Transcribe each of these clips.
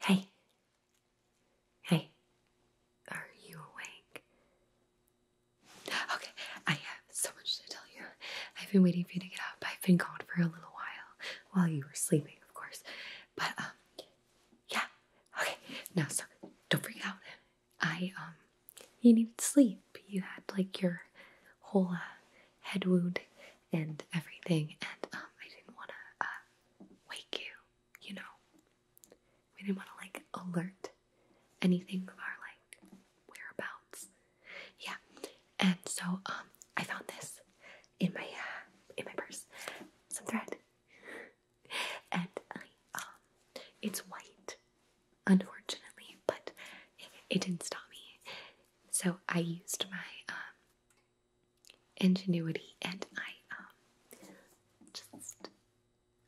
Hey, hey, are you awake? Okay, I have so much to tell you. I've been waiting for you to get up. I've been gone for a little while while you were sleeping, of course. But um, yeah, okay. Now, so don't freak out. I um, you needed sleep. You had like your whole uh, head wound and everything, and um, I didn't want to uh, wake you. You know, we didn't want to like alert anything of our like whereabouts. Yeah, and so um, I found this in my uh, in my purse some thread, and I um, it's white, unfortunately, but it, didn't stop me. So I used my um, ingenuity, and I um just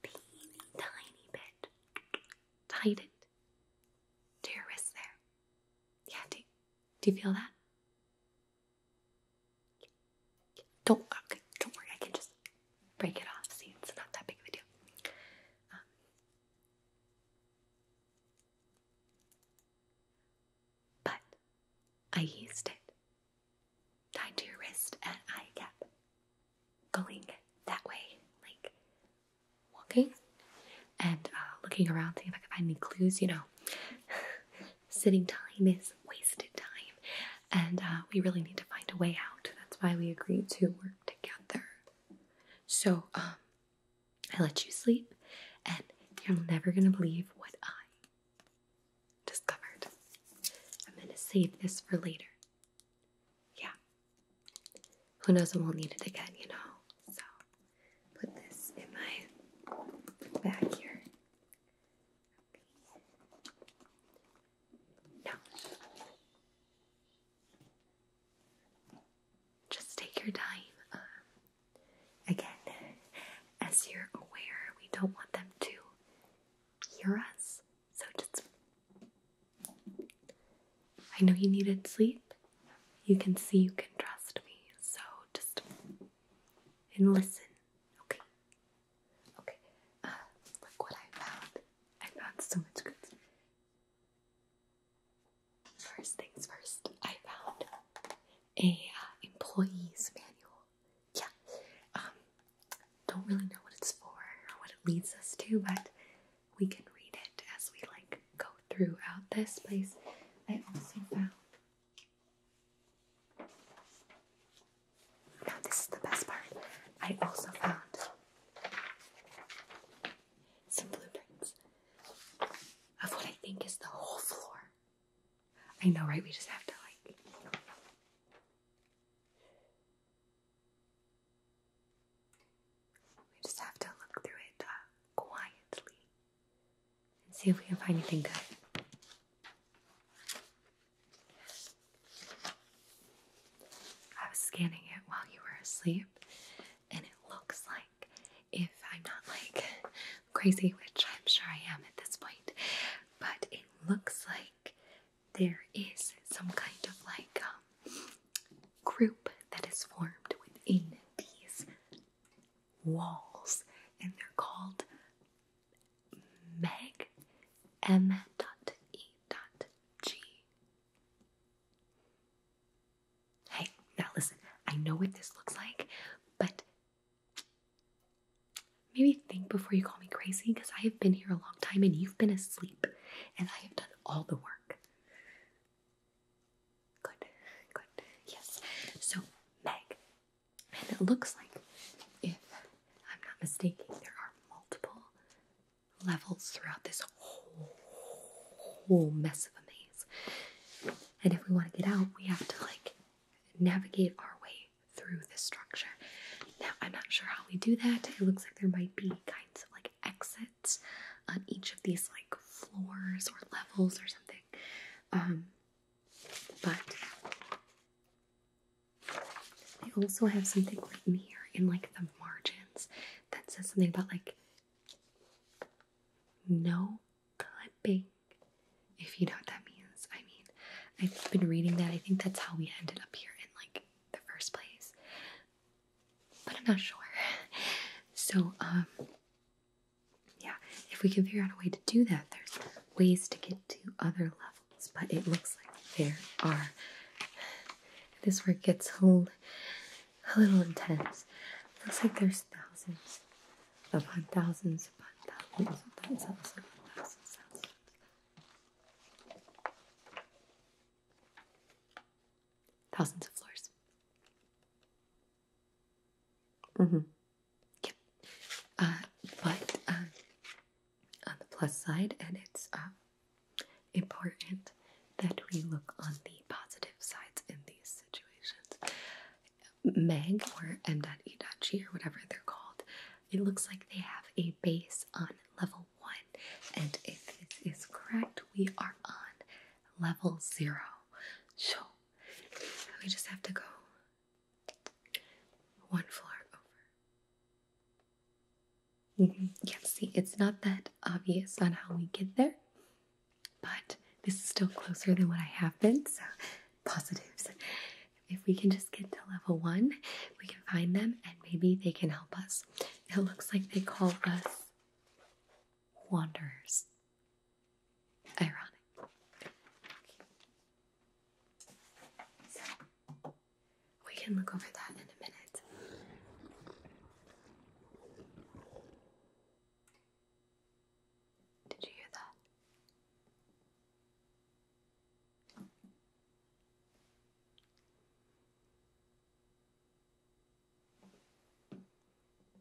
tiny bit tied it to your wrist there. Yeah, do do you feel that? Don't okay, don't worry. I can just break it off. See, it's not that big of a deal. Um, but I used it tied to your wrist, and I kept going that way, like walking and uh, looking around, seeing if I can find any clues. You know, sitting time is wasted time, and uh, we really need to find a way out. That's why we agreed to work together. So, um, I let you sleep, and you're never gonna believe what I discovered. I'm gonna save this for later. Yeah. Who knows when we'll need it again, you know? So put this in my bag here. Okay. Just take your time. Um, again, as you're aware, we don't want them to hear us, so just. I know you needed sleep, you can see you can trust me, so just and listen, okay? Okay, uh, look what I found. I found so much good. First things first, I found a uh, employee's manual. Yeah, um, don't really know what it's for or what it leads us to, but we can read it as we like go throughout this place. I also found now this is the best part. I also found some blueprints of what I think is the whole floor. I know, right? We just have to like. We just have to look through it uh, quietly and see if we can find anything good. I was scanning it while you were asleep, and it looks like if I'm not like crazy, which I'm sure I am at this point, but it looks like there is some kind of like um, group that is formed within these walls, and they're called Meg M. dot dot E. G. Hey, now listen. I know what this looks like, but maybe think before you call me crazy because I have been here a long time and you've been asleep, and I have done all the work. Good, good, yes. So, Meg, and it looks like, if I'm not mistaken, there are multiple levels throughout this whole, whole mess of a maze. And if we want to get out, we have to like navigate our way through this structure. Now, I'm not sure how we do that. It looks like there might be kinds of like exits on each of these like floors or levels or something. Um, but they also have something written here in like the margins that says something about like no clipping. If you know what that means, I mean, I've been reading that. I think that's how we ended up here in like the first place, but I'm not sure. So, um, yeah, if we can figure out a way to do that, there's ways to get to other levels, but it looks like there are. This work gets a little intense. looks like there's thousands upon thousands upon thousands upon thousands upon thousands. Thousands of floors. Mm-hmm. Yeah. Uh, but um, on the plus side, and it's um, important that we look on the positive sides in these situations. Meg or M.E.G or whatever they're called, it looks like they have a base on level one, and if this is correct, we are on level zero. So we just have to go one floor over. Mm -hmm. Yeah, see, it's not that obvious on how we get there, but this is still closer than what I have been, so positives. If we can just get to level one, we can find them and maybe they can help us. It looks like they call us wanderers. Ironic. we can look over that in a minute. Did you hear that?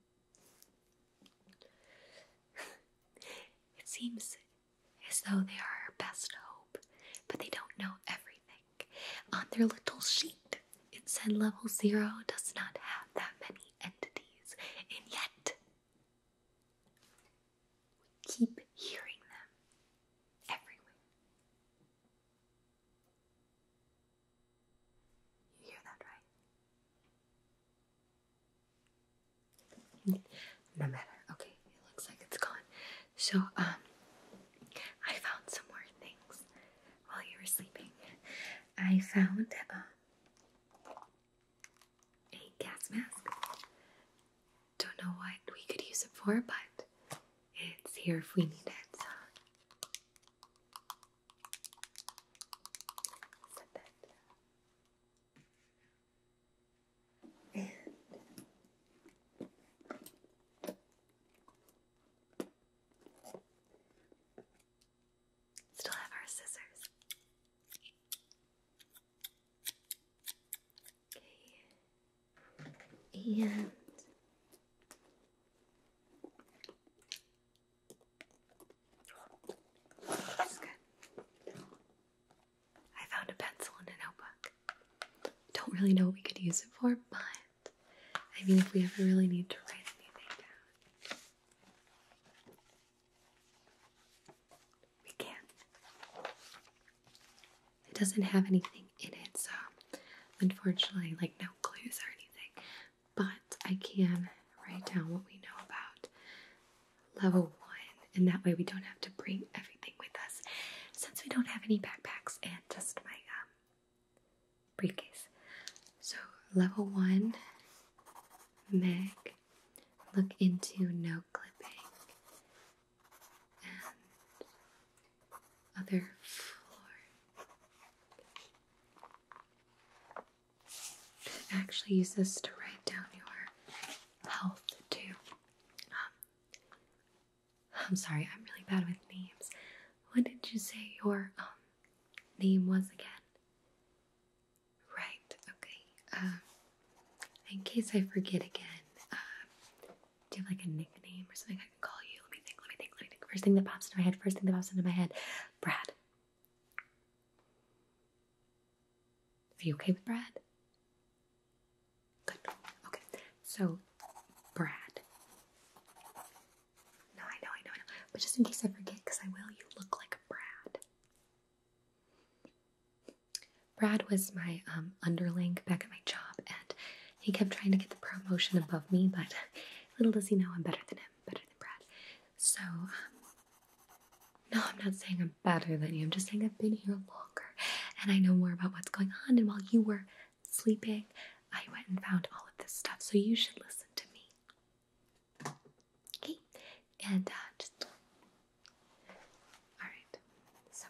it seems as though they are our best hope, but they don't know everything. On their little sheet, it said level zero does not have that many entities, and yet we keep hearing them everywhere. You hear that, right? No matter. Okay, it looks like it's gone. So, um, I found some more things while you were sleeping. I found um, a gas mask. Don't know what we could use it for, but it's here if we need it. And still have our scissors. Okay. And that's good. I found a pencil in a notebook. Don't really know what we could use it for, but I mean, if we ever really need to write anything down, we can. It doesn't have anything in it, so unfortunately, like no clues or anything. But I can write down what we know about level one, and that way we don't have to bring everything with us since we don't have any backpacks and just my um, briefcase. So, level one, Meg, look into no clipping and other floor actually use this to write down your health too. Um, I'm sorry, I'm really bad with names. What did you say your um, name was again? Right, okay. Um, in case I forget again, um, do you have like a nickname or something I can call you? Let me think, let me think, let me think. First thing that pops into my head, first thing that pops into my head, Brad. Are you okay with Brad? Good. Okay. So, Brad. No, I know, I know, I know. But just in case I forget, because I will, you look like a Brad. Brad was my um, underling back at my job, and he kept trying to get the promotion above me, but little does he know I'm better than him, better than Brad. So, no, I'm not saying I'm better than you. I'm just saying I've been here longer and I know more about what's going on. And while you were sleeping, I went and found all of this stuff. So, you should listen to me. Okay? And uh, just. Alright. So,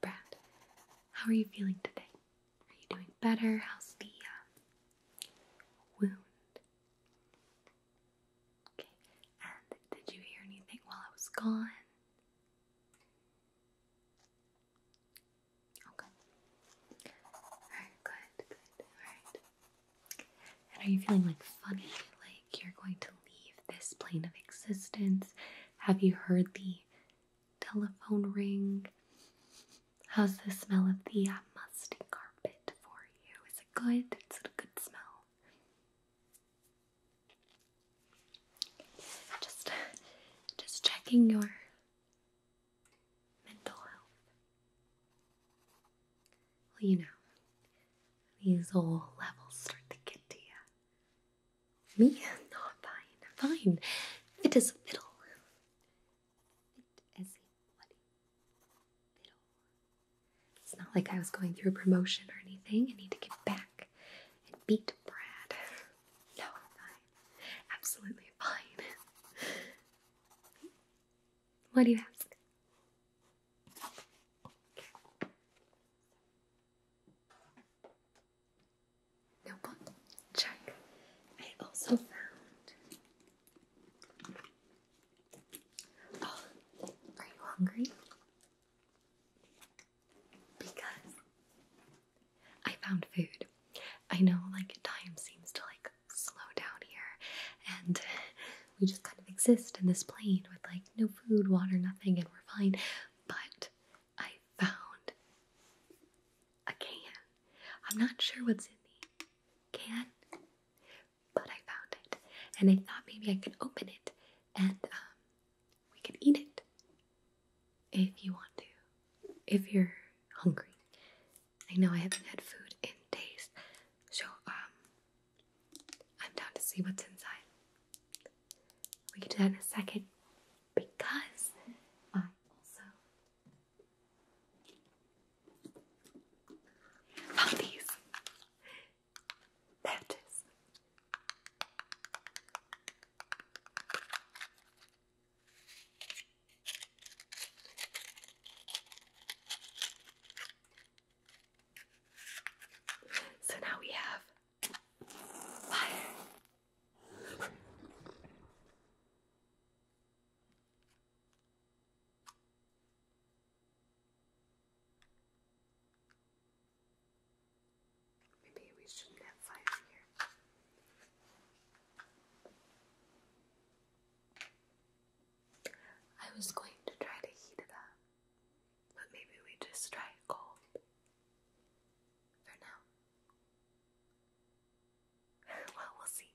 Brad, how are you feeling today? Are you doing better? How's the uh, wound? Okay. And did you hear anything while I was gone? Okay. Alright, good, good. Alright. And are you feeling like funny? Like you're going to leave this plane of existence? Have you heard the telephone ring? How's the smell of the uh, musty carpet for you? good? It's a good smell? Just, just checking your mental health. Well, you know, these old levels start to get to you. Me? No, i fine. fine. It is a fiddle. fiddle. It's not like I was going through a promotion or anything. I need to get back and beat Brad. No, I'm fine. Absolutely fine. What do you ask? Notebook, check. I also found Oh, are you hungry? Because I found food. I know, like, time seems to, like, slow down here, and we just kind of exist in this plane with, like, no food, water, nothing, and we're fine. But I found a can. I'm not sure what's in the can, but I found it, and I thought maybe I could open it and um, we could eat it if you want to, if you're hungry. I know I haven't had food in days, so um, I'm down to see what's inside. We can do that in a second because I also found these. There it is. So now we have fire. Maybe we shouldn't have five here. I was going to try to heat it up, but maybe we just try it cold for now. well, we'll see.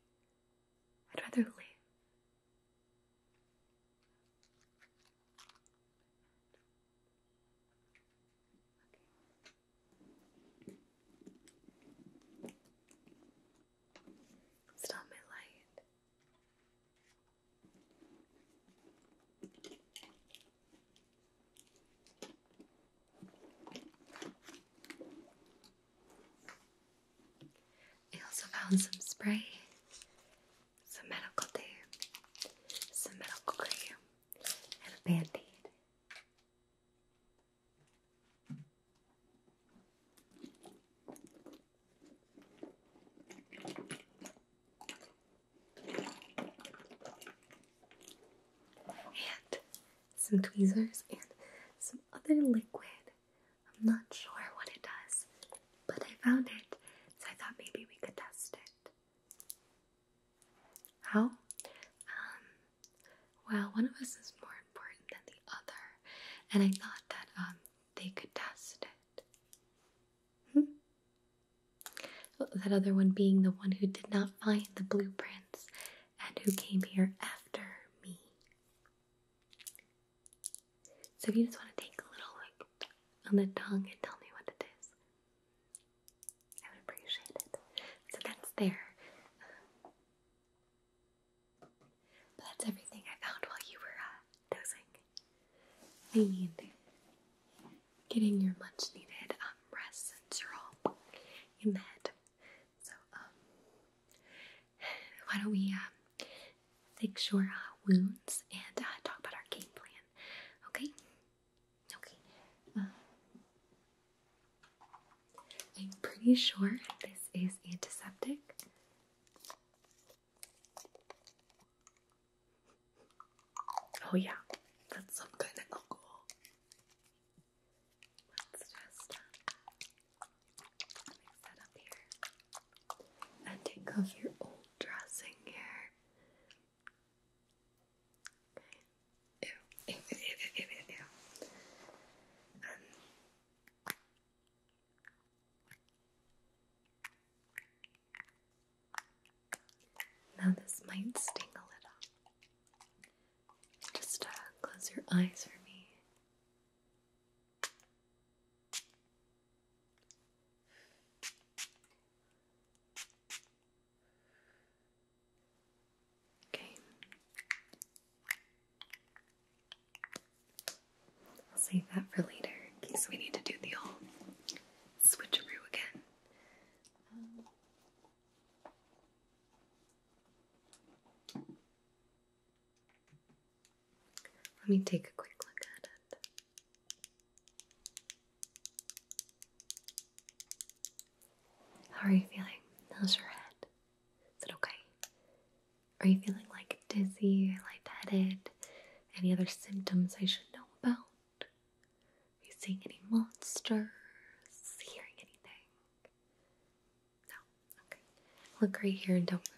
I'd rather leave. Okay. Stop my light. Okay. I also found some spray, some medical tape, some medical cream, and a band aid. And some tweezers and some other liquid I'm not sure what it does, but I found it, so I thought maybe we could test it. How? Um, well, one of us is more important than the other, and I thought that um, they could test it. Hmm? that other one being the one who did not find the blueprints and who came here after me. So if you just want to take a little look on the tongue and tell me what it is, I would appreciate it. So that's there. but that's everything I found while you were uh, dozing. I mean, getting your much needed um, rest since you're all in the So, um, why don't we um, fix your uh, wounds and uh, talk about our game plan? Okay. Okay. Um, I'm pretty sure this is antiseptic. Oh yeah, that's some kind of alcohol. Let's just uh, up here. And take off your old dressing here. Ew, ew, um. now this might sting a little. Just uh, close your eyes for me. Okay. I'll save that for later in case we need to do the whole switcheroo again. Let me take a quick look at it. How are you feeling? How's your head? Is it okay? Are you feeling like dizzy or lightheaded? Any other symptoms I should know about? Are you seeing any monsters? Hearing anything? No? Okay. Look right here and don't move.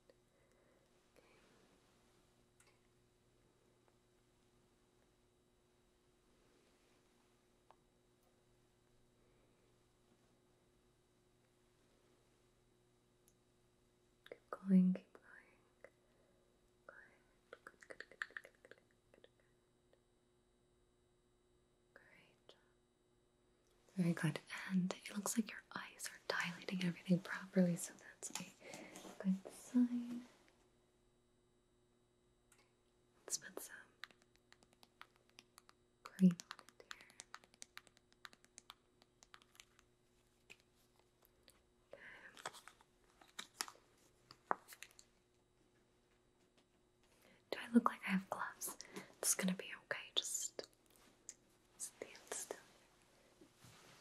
Keep going, keep going. Good, good, good, good, good, good, good. Great job. Very good. And it looks like your eyes are dilating everything properly, so that's a good sign. Let's put some green on here. Do I look like I have gloves? It's gonna be okay, just Stand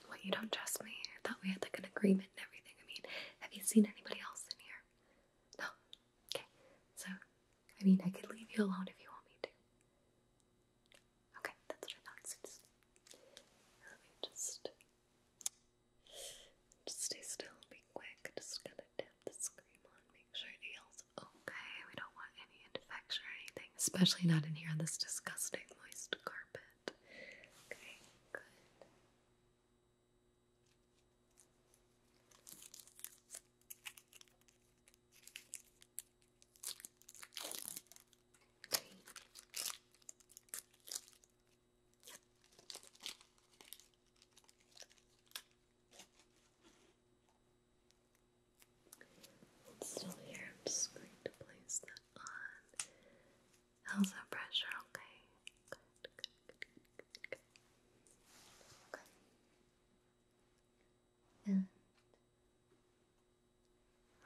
What, you don't trust me? I thought we had like an agreement and everything. I mean, have you seen anybody else in here? No? Okay. So, I mean, I could leave you alone if you want me to. Okay, that's what I thought. let me just, just stay still and be quick. Just gonna tap the screen on, make sure it yells, oh, okay? We don't want any infection or anything, especially not in here on this disgusting moist carpet. Okay, good. Okay. It's still here. I'm just going to place that on. How's that pressure? Okay. Good, good, good, good, Okay. And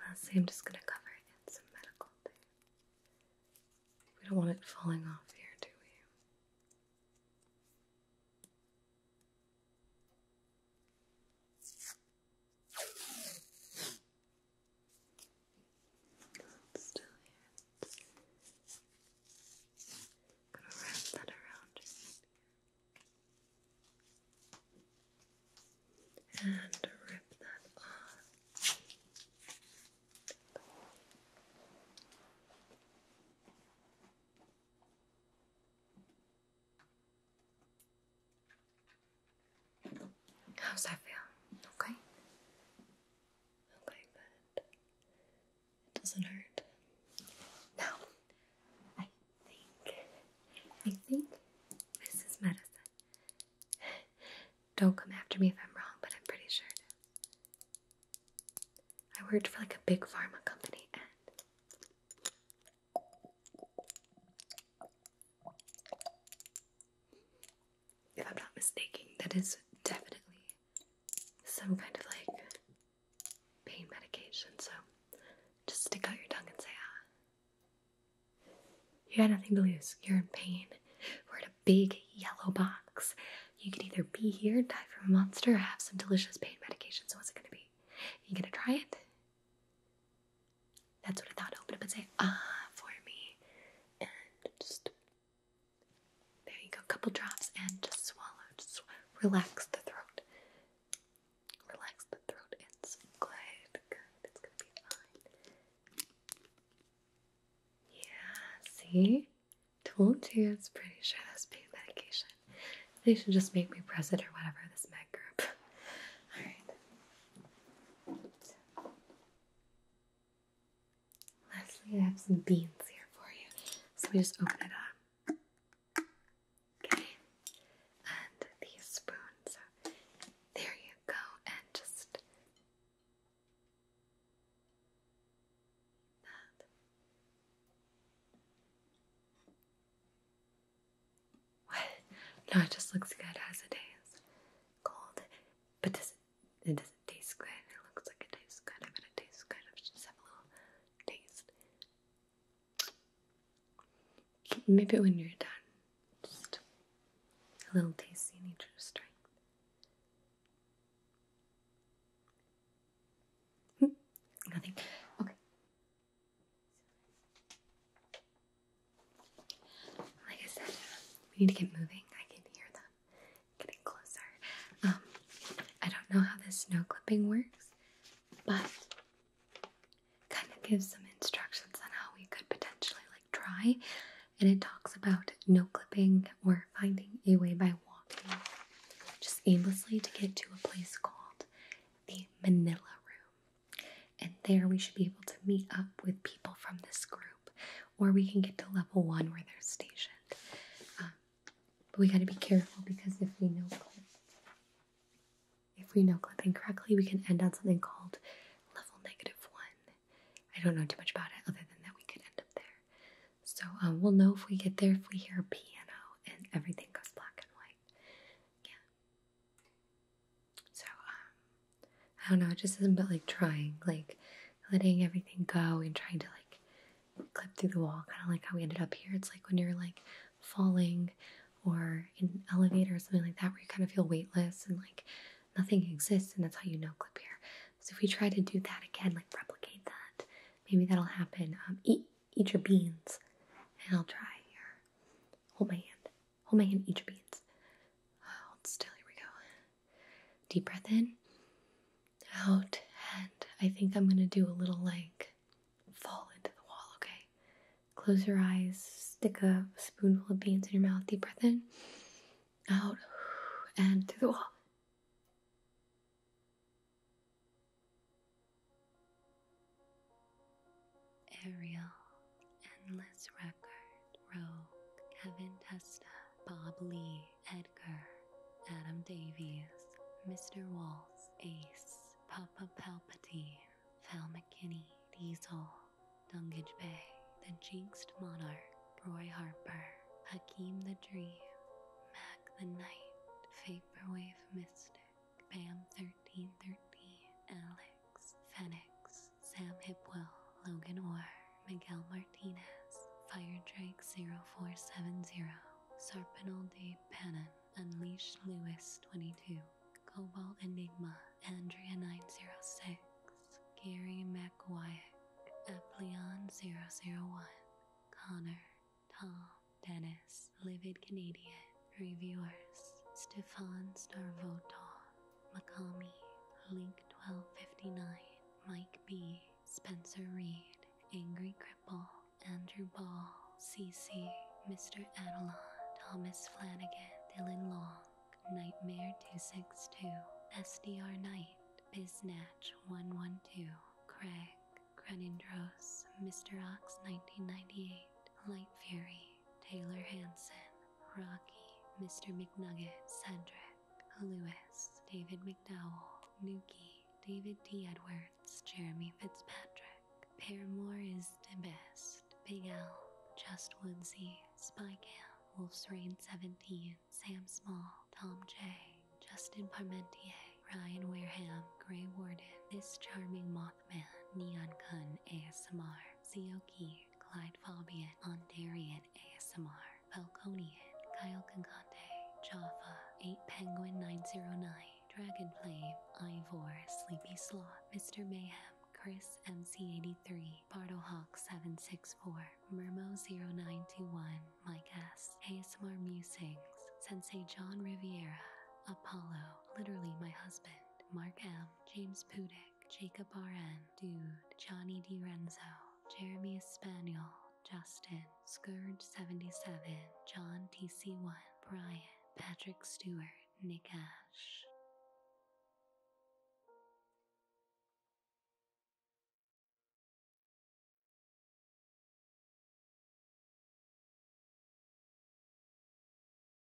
lastly, I'm just going to cover it in some medical thing. We don't want it falling off here, do we? still here. Gonna wrap that around and rip that off. How's that feel? Okay? Okay, good. It doesn't hurt. Now, I think, I think this is medicine. Don't come after me if I'm wrong, but I'm pretty sure I worked for like a big pharma company and if I'm not mistaken, that is definitely some kind of like pain medication. So just stick out your tongue and say, ah. You got nothing to lose. You're in pain. We're in a big yellow box. You can either be here, die from a monster, or have some delicious pain medication. So what's it gonna be? you gonna try it? That's what I thought. Open up and say ah for me, and just there you go. Couple drops and just swallow. Just relax the throat. Relax the throat. It's good. Good. It's gonna be fine. Yeah. See, told you. It's pretty sure that's pain medication. They should just make me press it or whatever, this med group. Alright. Lastly, I have some beans here for you. So we just open it up. Okay. And the spoon. there you go. And just that. What? No, it just looks good as it is. Cold. But does it, it doesn't taste good. It looks like it tastes good. I bet it tastes good. Let's just have a little taste. Maybe when you're done, just a little taste in each strength. Hmm. Nothing. Okay. Like I said, we need to get moving. I can hear them getting closer. Um, I don't know how this snow clipping works, but kind of gives some instructions on how we could potentially like try. And it talks about no clipping or finding a way by walking just aimlessly to get to a place called the Manila Room. And there we should be able to meet up with people from this group, or we can get to level one where they're stationed. Um, but we got to be careful because if we know if we know clip correctly, we can end on something called level negative one. I don't know too much about it, other than that we could end up there. So um, we'll know if we get there if we hear piano and everything goes black and white. Yeah. So, um, I don't know, it just isn't about like trying, like letting everything go and trying to like clip through the wall, kind of like how we ended up here. It's like when you're like falling or in an elevator or something like that, where you kind of feel weightless and like nothing exists, and that's how you know clip here. So, if we try to do that again, like replicate that, maybe that'll happen. Um, eat, eat your beans, and I'll try here. Hold my hand. Hold my hand, eat your beans. still, here we go. Deep breath in, out, and I think I'm gonna do a little like fall into the wall, okay? Close your eyes, stick a spoonful of beans in your mouth, deep breath in, out, and through the wall. Ariel, Endless Record, Rogue, Kevin Testa, Bob Lee, Edgar, Adam Davies, Mr. Waltz, Ace, Papa Palpatine, Val McKinney, Diesel, Dungage Bay, The Jinxed Monarch, Roy Harper, Hakeem the Dream, Mac the Knight, Vaporwave Mystic, Bam 13, 1313, Alex, Fenix, Sam Hipwell, Logan Orr, Miguel Martinez, Firedrake 0470, Sarpinal de Pannon, Unleash Lewis 22, Cobalt Enigma, Andrea 906, Gary McWyack, Apleon 001, Connor, Tom, Dennis, Livid Canadian, reviewers Stefan Starvotov, Makami, Link1259, Mike B, Spencer Reed, Angry Cripple, Andrew Ball, CC, Mr. Adelon, Thomas Flanagan, Dylan Long, Nightmare262, SDR Knight, Biznatch112, Craig, Crenindros, Mr. Ox1998, Light Fury, Taylor Hanson, Rocky, Mr. McNugget, Cedric, Lewis, David McDowell, Nuki, David T. Edwards, Jeremy Fitzpatrick. Paramore is the best. Big Al, Just Woodsy, Spy Cam, Wolf's Rain 17, Sam Small, Tom J. Justin Parmentier, Ryan Wareham, Gray Warden, This Charming Moth Mothman, Neon gun, ASMR, Zioki, Clyde Fabian, Ondarian ASMR, Falconian, Kyle Kankante, Jaffa, 8 Penguin 909, Dragonflame, Ivor, Sleepy Sloth, Mr. Mayhem, Chris MC83, Hawk 764 Murmo0921, My guest, ASMR Musings, Sensei John Riviera, Apollo, literally my husband, Mark M, James Pudick, Jacob R.N., Dude, Johnny Renzo, Jeremy Espaniel, Justin, Scourge77, John TC1, Brian, Patrick Stewart, Nick Ash.